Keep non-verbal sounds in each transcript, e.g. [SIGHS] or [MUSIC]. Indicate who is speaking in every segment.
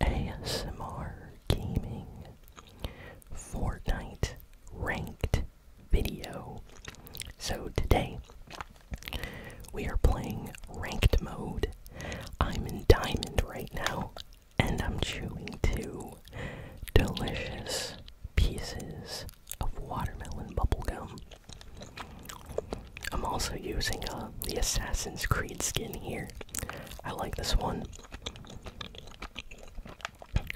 Speaker 1: ASMR Gaming Fortnite Ranked video. So today we are playing ranked mode. I'm in diamond right now and I'm chewing two delicious pieces of watermelon bubble gum. I'm also using uh, the Assassin's Creed skin here. I like this one.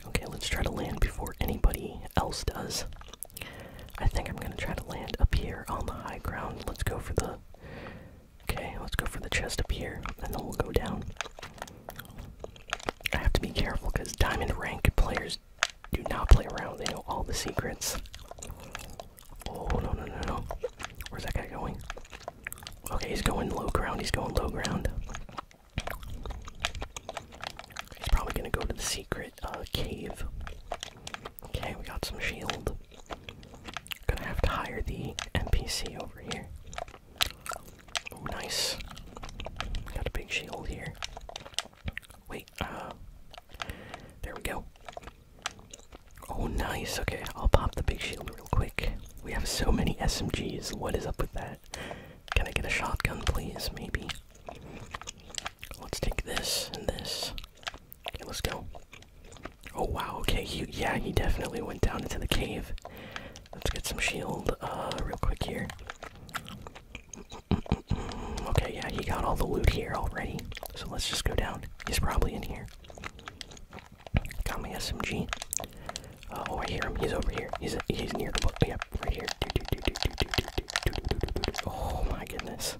Speaker 1: Okay, let's try to land before anybody else does. I think I'm gonna try to land up here on the high ground. Let's go for the. Okay, let's go for the chest up here, and then we'll go down. I have to be careful because diamond rank players do not play around. They know all the secrets. Oh no no no no! Where's that guy going? Okay, he's going low ground. He's going low ground. He's probably gonna go to the secret uh, cave. Okay, we got some shield. Gonna have to hire the NPC over here. Oh, nice. Got a big shield here. Wait, uh, there we go. Oh, nice. Okay, I'll pop the big shield real quick. We have so many SMGs. What is up with that? Can I get a shotgun, please? Maybe. Let's take this and this. Okay, let's go. Oh, wow. Okay, yeah, he definitely went down into the cave. Let's get some shield uh, real quick here. Okay, yeah, he got all the loot here already. So let's just go down. He's probably in here. Got my SMG. Uh, oh, I hear him. He's over here. He's he's near the book. Yep, right here. Oh my goodness.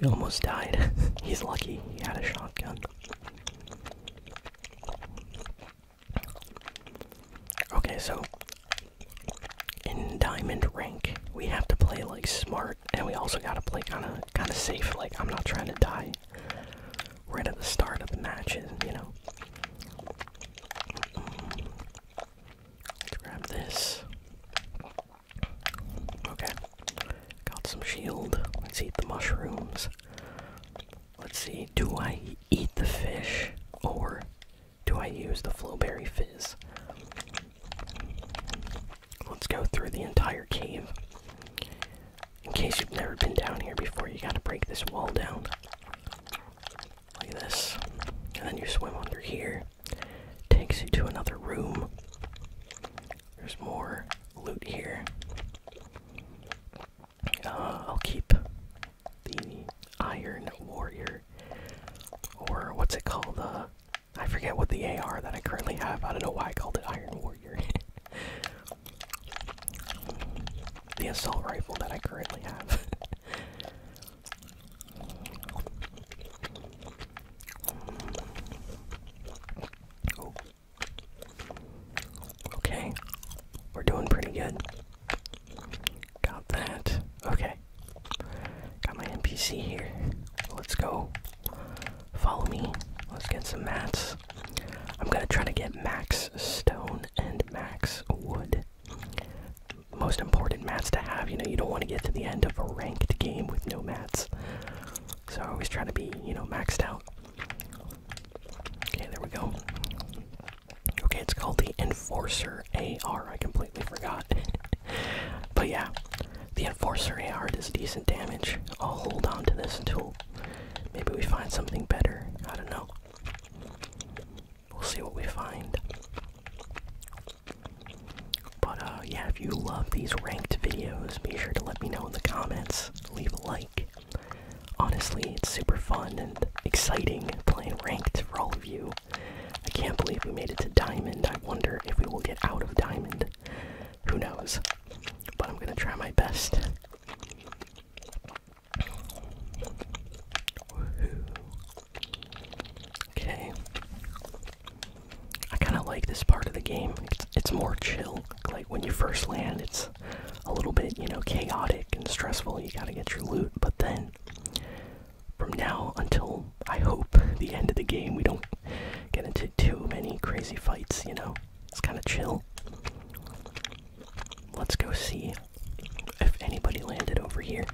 Speaker 1: We almost died. he's lucky. He had a shotgun. Okay, so in diamond rank, we have to play like smart and we also gotta play kind of kind of safe. Like I'm not trying to die right at the start of the matches, you know. Let's grab this. Okay, got some shield. Let's eat the mushrooms. Let's see. Do I eat the fish or do I use the flowberry fizz? Let's go through the entire cave. In case you've never been down here before, you gotta break this wall down. Like this. And then you swim under here. Takes you to another room. There's more loot here. Uh, I'll keep the Iron Warrior. Or what's it called? Uh, I forget what the AR that I currently have. I don't know why I called it Iron Warrior. [LAUGHS] the assault rifle that I currently have. [LAUGHS] Okay, we're doing pretty good. Got that. Okay, got my NPC here. Let's go Follow me. Let's get some mats. I'm gonna try to get max stone and max wood. Most important mats to have. You know, you don't want to get to the end of a ranked game with no mats. So I always try to be, you know, maxed out. Okay, there we go. Okay, it's called the Enforcer AR. I completely forgot. [LAUGHS] but yeah, the Enforcer AR does decent damage. I'll hold on to this until maybe we find something better. I don't know. We'll see what we find. But uh, yeah, if you love these ranked videos, be sure to let me know in the comments. Leave a like. Honestly, it's super fun and exciting playing ranked for all of you. I can't believe we made it to Diamond. I wonder if we will get out of Diamond. Who knows? But I'm gonna try my best. Okay. I kind of like this part of the game. It's, more chill. Like when you first land, it's a little bit, you know, chaotic and stressful. You gotta get your loot, but then from now until I hope the end of the game, we don't get into too many crazy fights, you know? It's kind of chill. Let's go see if anybody landed over here.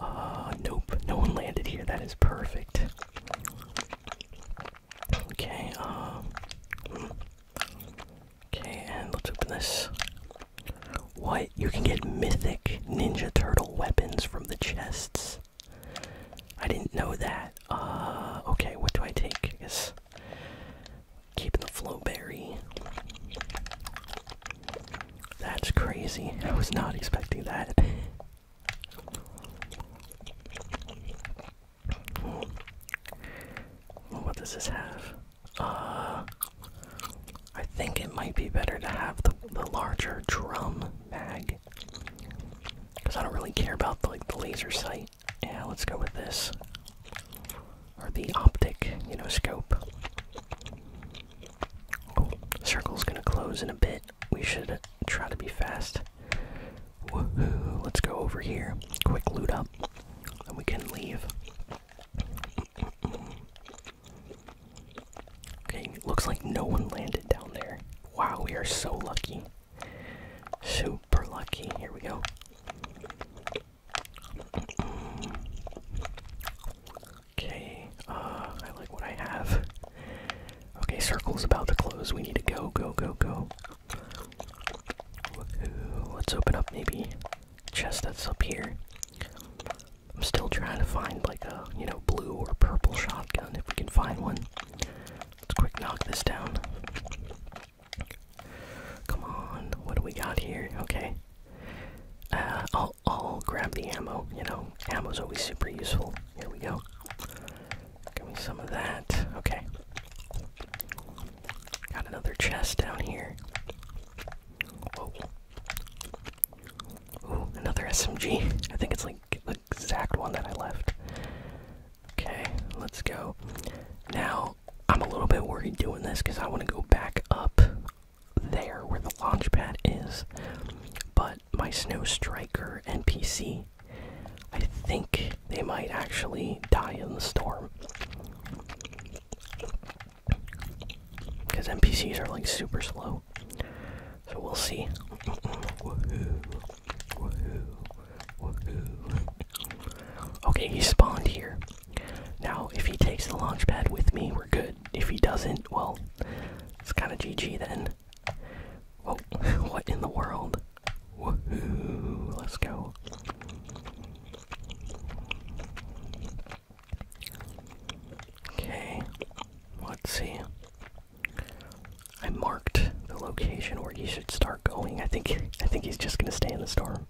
Speaker 1: Uh, nope, no one landed here. That is perfect. Okay, um. Okay, and let's open this. What? You can get mythic Ninja Turtle weapons from the chests. I didn't know that. Uh, okay, what do I take? I guess keeping the flow berry. That's crazy. I was not expecting that. Hmm. What does this have? Uh, I think it might be better to have the, the larger drum mag. Because I don't really care about the, like the laser sight. Yeah, let's go with this. Or the optic, you know, scope. Oh, circle's gonna close in a bit. We should try to be fast. Woohoo! Let's go over here. Quick loot up, and we can leave. Okay, looks like no one landed down there. Wow, we are so lucky. Super lucky. Here we go. Okay, uh, I like what I have. Okay, circle's about to close. We need to go, go, go, go. Let's open up maybe chest that's up here. I'm still trying to find like a, you know, blue or purple shotgun if we can find one. Let's quick knock this down. Come on, what do we got here? Okay. Uh, I'll, I'll grab the ammo, you know, ammo's always super useful. Here we go. Give me some of that. Okay. Got another chest down here. Ooh, another SMG. I think it's like the exact one that I left. Okay, let's go. Now, I'm a little bit worried doing this because I want to go back up there where the launch pad is. But my Snow Striker NPC, I think they might actually die in the storm. Because NPCs are like super slow. So we'll see. Okay, he spawned here. Now, if he takes the launch pad with me, we're good. If he doesn't, well, it's kind of GG then. Oh, [LAUGHS] what in the world? Woohoo, let's go. Okay, let's see. I marked the location where he should start going. I think I think he's just gonna stay in the storm.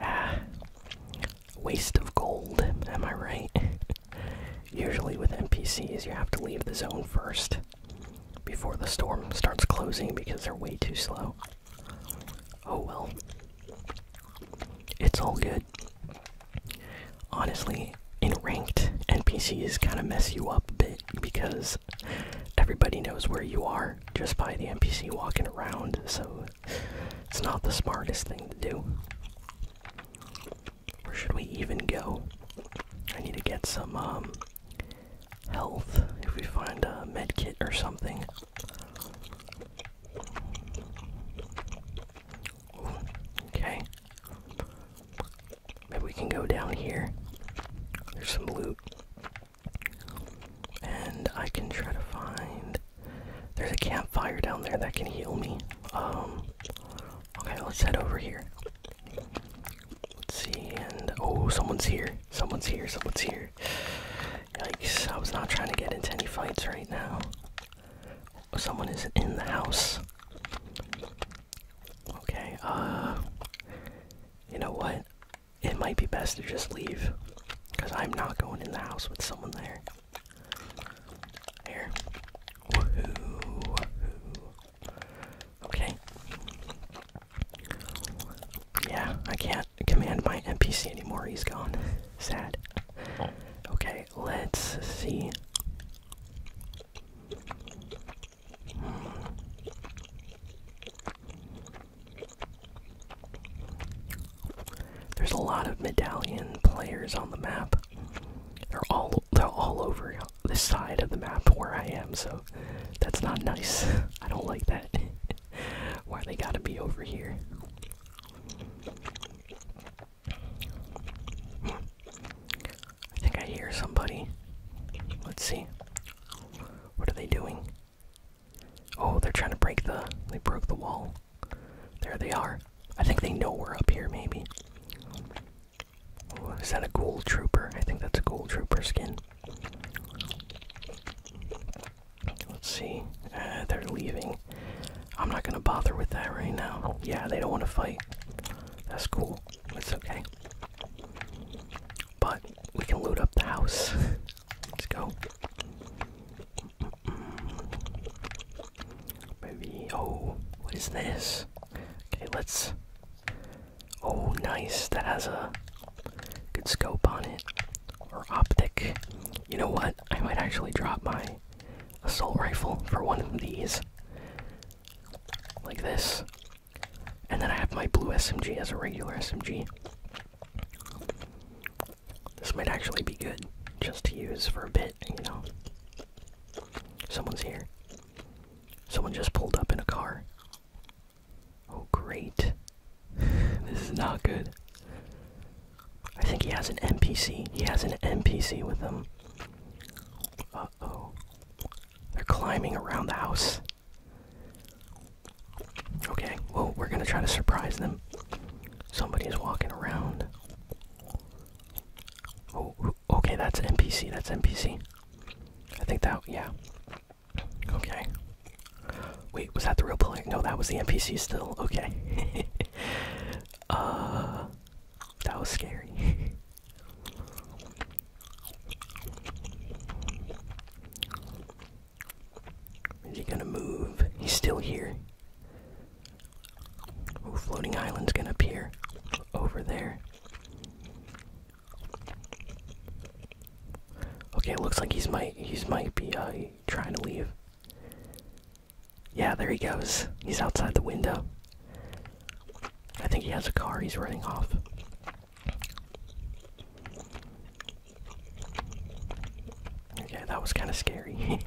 Speaker 1: Ah, waste of gold. Am I right? [LAUGHS] Usually with NPCs, you have to leave the zone first before the storm starts closing because they're way too slow. Oh well, it's all good. Honestly, in ranked, NPCs kind of mess you up a bit because everybody knows where you are just by the NPC walking around, so it's not the smartest thing to do. Where should we even go? I need to get some um, health if we find a medkit or something. Okay. Maybe we can go down here. There's some loot. And I can try to find. There's a campfire down there that can heal me. Um. Okay, let's head over here. Let's see, and. Oh, someone's here. Someone's here. Someone's here. Yikes. I was not trying to get into any fights right now someone is in the house. Okay, uh. You know what? It might be best to just leave. Because I'm not going in the house with someone there. There. Okay. Yeah, I can't command my NPC anymore. He's gone. Sad. Oh. Okay, let's see. There's a lot of medallion players on the map. They're all they're all over this side of the map where I am, so that's not nice. [LAUGHS] I don't like that. [LAUGHS] Why they gotta be over here? I think I hear somebody. Let's see. What are they doing? Oh, they're trying to break the. They broke the wall. There they are. I think they know we're up here, maybe. Oh, is that a gold trooper? I think that's a gold trooper skin. Let's see. Uh, they're leaving. I'm not gonna bother with that right now. Yeah, they don't want to fight. That's cool. It's okay. But we can loot up the house. [LAUGHS] Let's go. Maybe. Oh, what is this? Okay, let's. Oh, nice. That has a good scope on it. Or optic. You know what? I might actually drop my assault rifle for one of these. Like this. And then I have my blue SMG as a regular SMG. This might actually be good just to use for a bit, you know. Someone's here. Someone just pulled up in a car. Oh, great this is not good. I think he has an NPC. He has an NPC with him. Uh oh. They're climbing around the house. Okay, well, we're gonna try to surprise them. Somebody is walking around. Oh, okay, that's NPC. That's NPC. I think that, yeah. Okay, Wait, was that the real player? No, that was the NPC still. Okay. [LAUGHS] Uh, that was scary. [LAUGHS] Is he gonna move? He's still here. Ooh, floating island's gonna appear over there. Okay, looks like he's might he's might be uh, trying to leave. Yeah, there he goes. He's outside the window. I think he has a car. He's running off. Okay, that was kind of scary.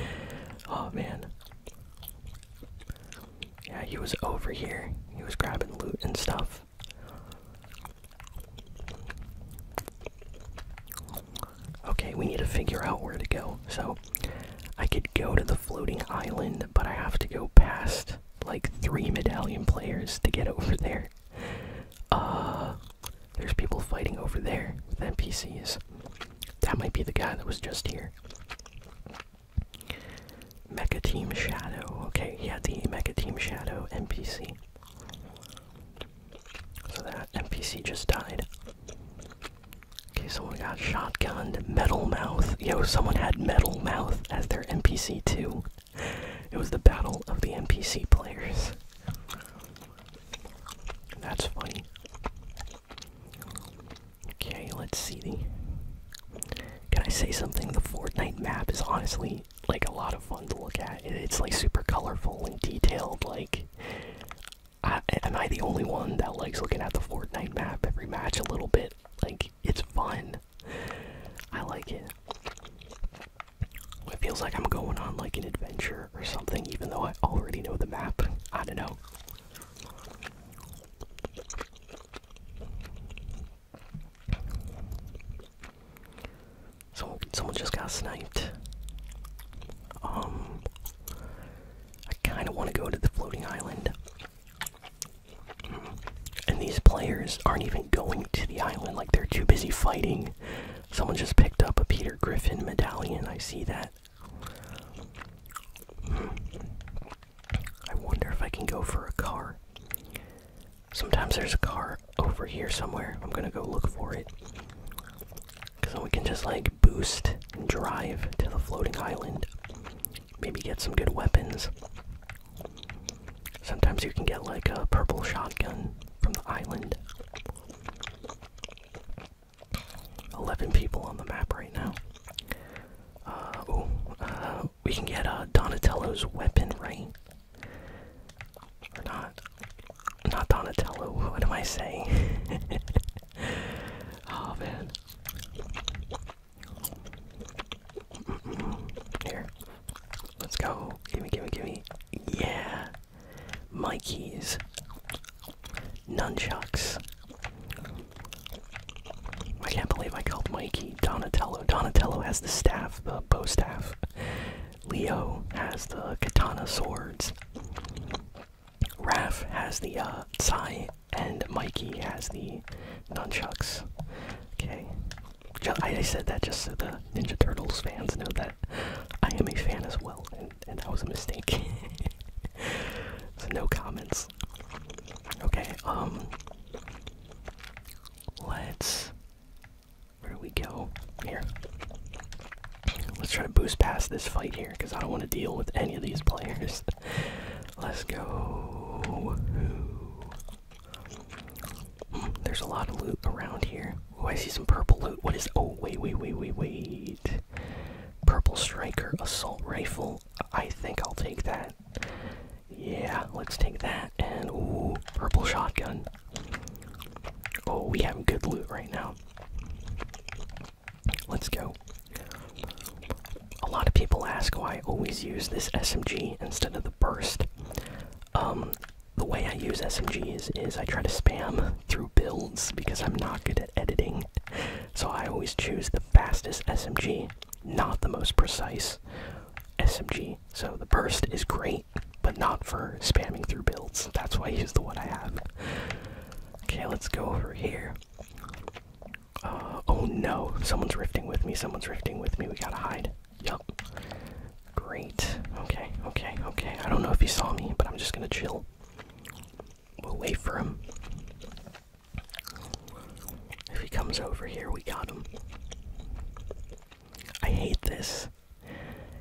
Speaker 1: [LAUGHS] oh man. Yeah, he was over here. He was grabbing loot and stuff. Okay, we need to figure out where to go. So, I could go to the floating island, but I have to go past like three medallion players to get [LAUGHS] over there. Uh, there's people fighting over there with NPCs. That might be the guy that was just here. Mecha Team Shadow. Okay, yeah, the Mecha Team Shadow NPC. So that NPC just died. Okay, someone got shotgunned. Metal Mouth. Yo, someone had Metal Mouth as their NPC too. It was the battle of the NPC players. That's funny. Okay, let's see the. Can I say something? The Fortnite map is honestly like a lot of fun to look at. It's like super colorful and detailed. Like, am I the only one that likes looking at the Fortnite map every match a little bit? Like, it's fun. I like it. It feels like I'm going on like an adventure or something, even though I already know the map. I don't know. Someone, someone just got sniped. Um, I kind of want to go to the floating island. And these players aren't even going to the island, like they're too busy fighting. Someone just picked up a Peter Griffin medallion, I see that. Hmm. I wonder if I can go for a car. Sometimes there's a car over here somewhere. I'm gonna go look for it. Because then we can just like boost and drive to the floating island. Maybe get some good weapons. Sometimes you can get like a purple shotgun from the island. 11 people on the map right now. oh, we can get uh, Donatello's weapon, right? not. Not Donatello, what am I saying? [LAUGHS] oh man. Here. Let's go. Gimme, gimme, gimme. Yeah. Mikey's Nunchucks. I can't believe I called Mikey Donatello. Donatello has the staff, the bow staff. Leo has the katana swords. Raph has the uh, and Mikey has the nunchucks. Okay, I, said that just so the Ninja Turtles fans know that I am a fan as well, and, and that was a mistake. [LAUGHS] so no comments. Okay, um, let's where we go? Here. Let's try to boost past this fight here because I don't want to deal with any of these players. [LAUGHS] Let's go. Hmm, there's a lot of loot around here. Oh, I see some purple loot. What is. Oh, wait, wait, wait, wait, wait. Purple Striker Assault Rifle. I think I'll take that. Yeah, let's take that and ooh, purple shotgun. Oh, we have good loot right now. Let's go. A lot of people ask why I always use this SMG instead of the burst. Um, the way I use SMGs is I try to spam through builds because I'm not good at editing. So I always choose the fastest SMG, not the most precise SMG. So the burst is great, but not for spamming through builds. That's why he's the one I have. Okay, let's go over here. Uh, oh no, someone's rifting with me, someone's rifting with me, we gotta hide. Yup. Great. Okay, okay, okay. I don't know if he saw me, but I'm just gonna chill. We'll wait for him. If he comes over here, we got him. I hate this.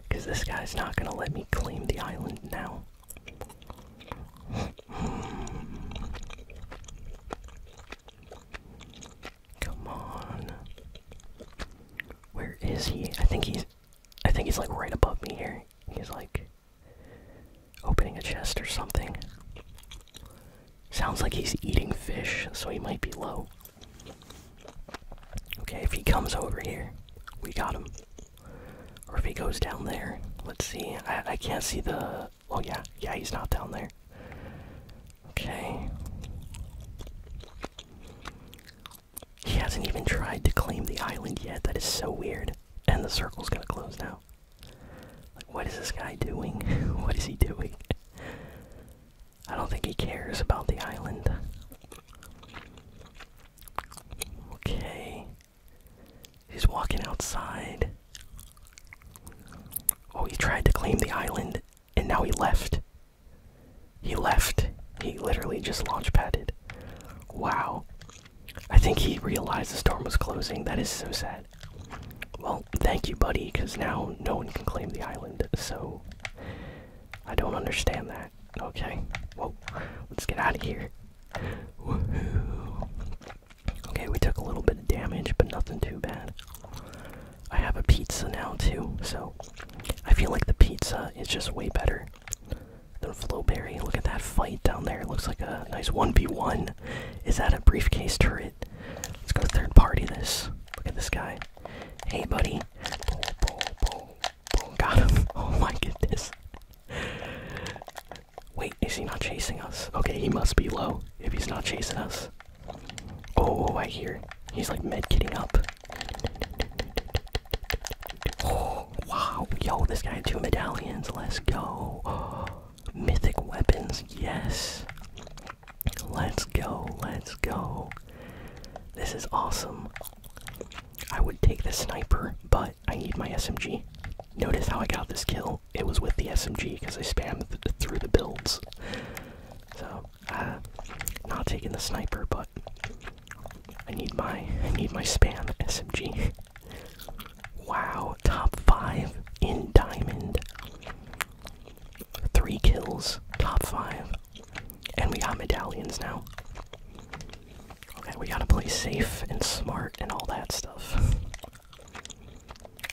Speaker 1: Because this guy's not gonna let me claim the island now. Come on. Where is he? I think he's. I think he's like right above me here. He's like opening a chest or something. Sounds like he's eating fish, so he might be low. Okay, if he comes over here, we got him. Or if he goes down there, let's see. I, I can't see the. Oh, yeah, yeah, he's not down there. Okay. He hasn't even tried to claim the island yet. That is so weird. And the circle's gonna close now. Like, what is this guy doing? [LAUGHS] what is he doing? I don't think he cares about the island. Okay. He's walking outside. Oh, he tried to claim the island and now he left. He left. He literally just launch padded. Wow. I think he realized the storm was closing. That is so sad. Well, thank you, buddy, because now no one can claim the island, so. I don't understand that. Okay. well, Let's get out of here. Okay, we took a little bit of damage, but nothing too bad. I have a pizza now, too, so. I feel like the pizza is just way better than Flowberry. Look at that fight down there. It looks like a nice 1v1. Is that a briefcase turret? Let's go third party this. Look at this guy. Hey, buddy. Boom, boom, boom, boom. Got him. [LAUGHS] Oh my goodness. Wait, is he not chasing us? Okay, he must be low if he's not chasing us. Oh, oh I hear. He's like med kitting up. [GASPS] wow. Yo, this guy had two medallions. Let's go. Oh, [GASPS] mythic weapons. Yes. Let's go, let's go. This is awesome. I would take the sniper, but I need my SMG. Notice how I got this kill. It was with the SMG because I spammed through the builds. So, uh, not taking the sniper, but I need my I need my spam SMG. wow, top five in diamond. Three kills, top five. And we got medallions now. Okay, we gotta play safe and smart and all that stuff.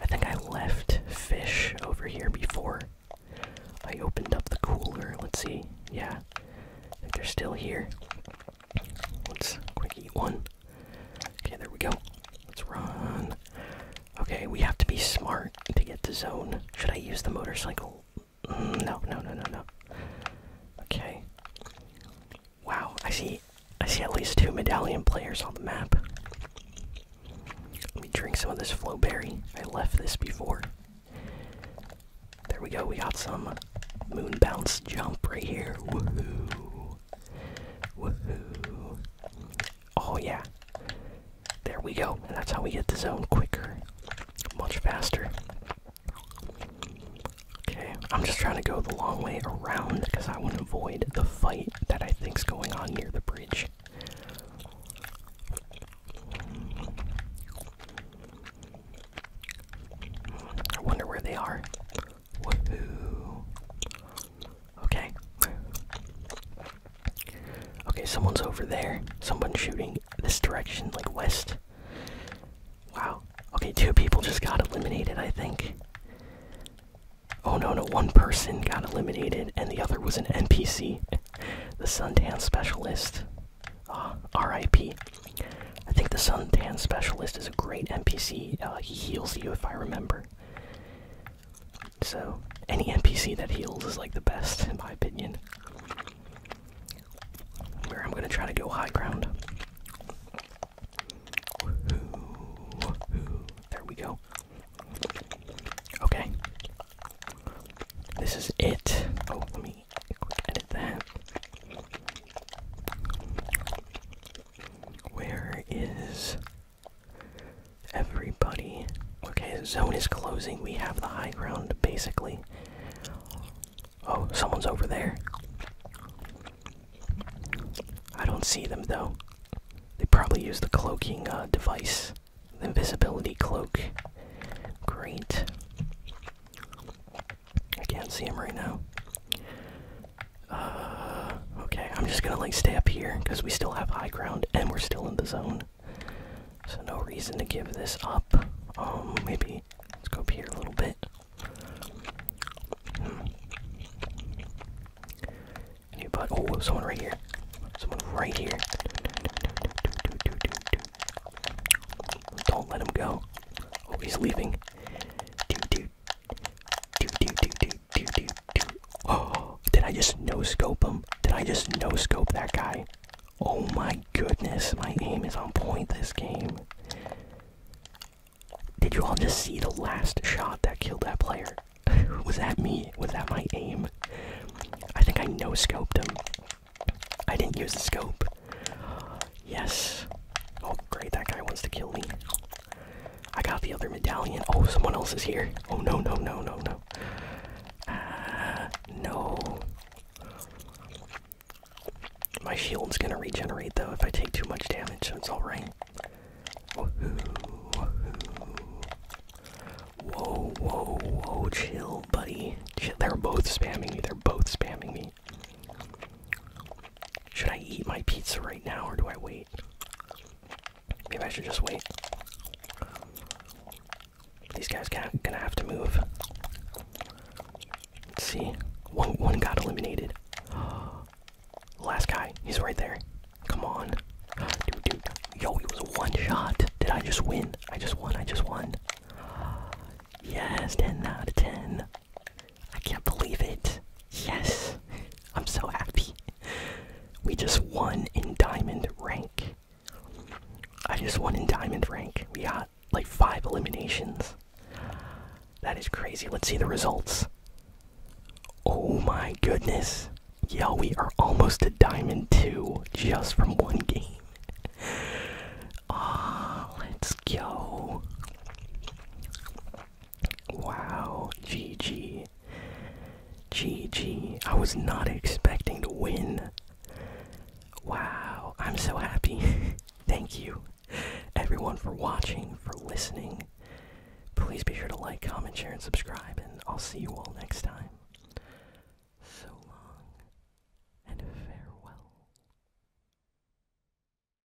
Speaker 1: I think I left fish over here before. I opened up the cooler. Let's see. Yeah. I they're still here. Let's quick eat one. Okay, there we go. Let's run. Okay, we have to be smart to get to zone. Should I use the motorcycle? Mm, no, no, no, no, no. Okay. Wow, I see. I see at least two medallion players on the map. Let me drink some of this flowberry. I left this before. There we go. We got some moon bounce jump right here. Woohoo! Woohoo! Oh yeah. There we go. that's how we get the zone quicker. Much faster. Okay, I'm just trying to go the long way around because I want to avoid the fight that I think's going on near the bridge. I wonder where they are. Okay. Okay, someone's over there. Someone's shooting this direction, like west. Wow. Okay, two people just got eliminated, I think. Oh no, no, one person got eliminated, and the other was an NPC. [LAUGHS] the Sun suntan specialist. Uh, ah, R.I.P. I think the Sun suntan specialist is a great NPC. Uh, he heals you if I remember. So, any NPC that heals is like the best, in my opinion. Where I'm gonna try to go high ground. There we go. Okay. This is it. Oh, let me edit that. Where is Everybody. Okay, zone is closing. We have the high ground, basically. Oh, someone's over there. I don't see them, though. They probably use the cloaking uh, device, the invisibility cloak. Great. I can't see him right now. [SIGHS] okay, I'm just gonna like stay up here because we still have high ground and we're still in the zone. So no reason to give this up. Um, maybe let's go up here a little bit. Hmm. Anybody? Oh, someone right here. Someone right here. Don't let him go. Oh, he's leaving. [GASPS] did I just no scope him? Did I just no scope that guy? Oh my goodness, my aim is on point this game. Did you all just see the last shot that killed that player? [LAUGHS] Was that me? Was that my aim? I think I no scoped him. I didn't use the scope. Yes. Oh, great, that guy wants to kill me. I got the other medallion. Oh, someone else is here. Oh no no no no no. Uh, no. My shield's gonna regenerate though if I take too much damage, so it's alright. Whoa, whoa, whoa, chill, buddy. They're both spamming me. They're both spamming me. Should I eat my pizza right now or do I wait? Maybe I should just wait. These guys can't, gonna have to move. Let's see, one one got eliminated. [GASPS] Last guy, he's right there. Come on, [GASPS] dude, dude. Yo, he was one shot. Did I just win? I just won. I just won. [GASPS] Yes, ten out of ten. I can't believe it. Yes. I'm so happy. We just won in diamond rank. I just won in diamond rank. We got like five eliminations. That is crazy. Let's see the results. Oh my goodness. Yo, we are almost a diamond 2 just from one game. Ah, let's go. Wow, GG. GG. I was not expecting to win. Wow, I'm so happy. [LAUGHS] Thank you, everyone, for watching, for listening. Please be sure to like, comment, share, and subscribe, and I'll see you all next time. So long, and farewell.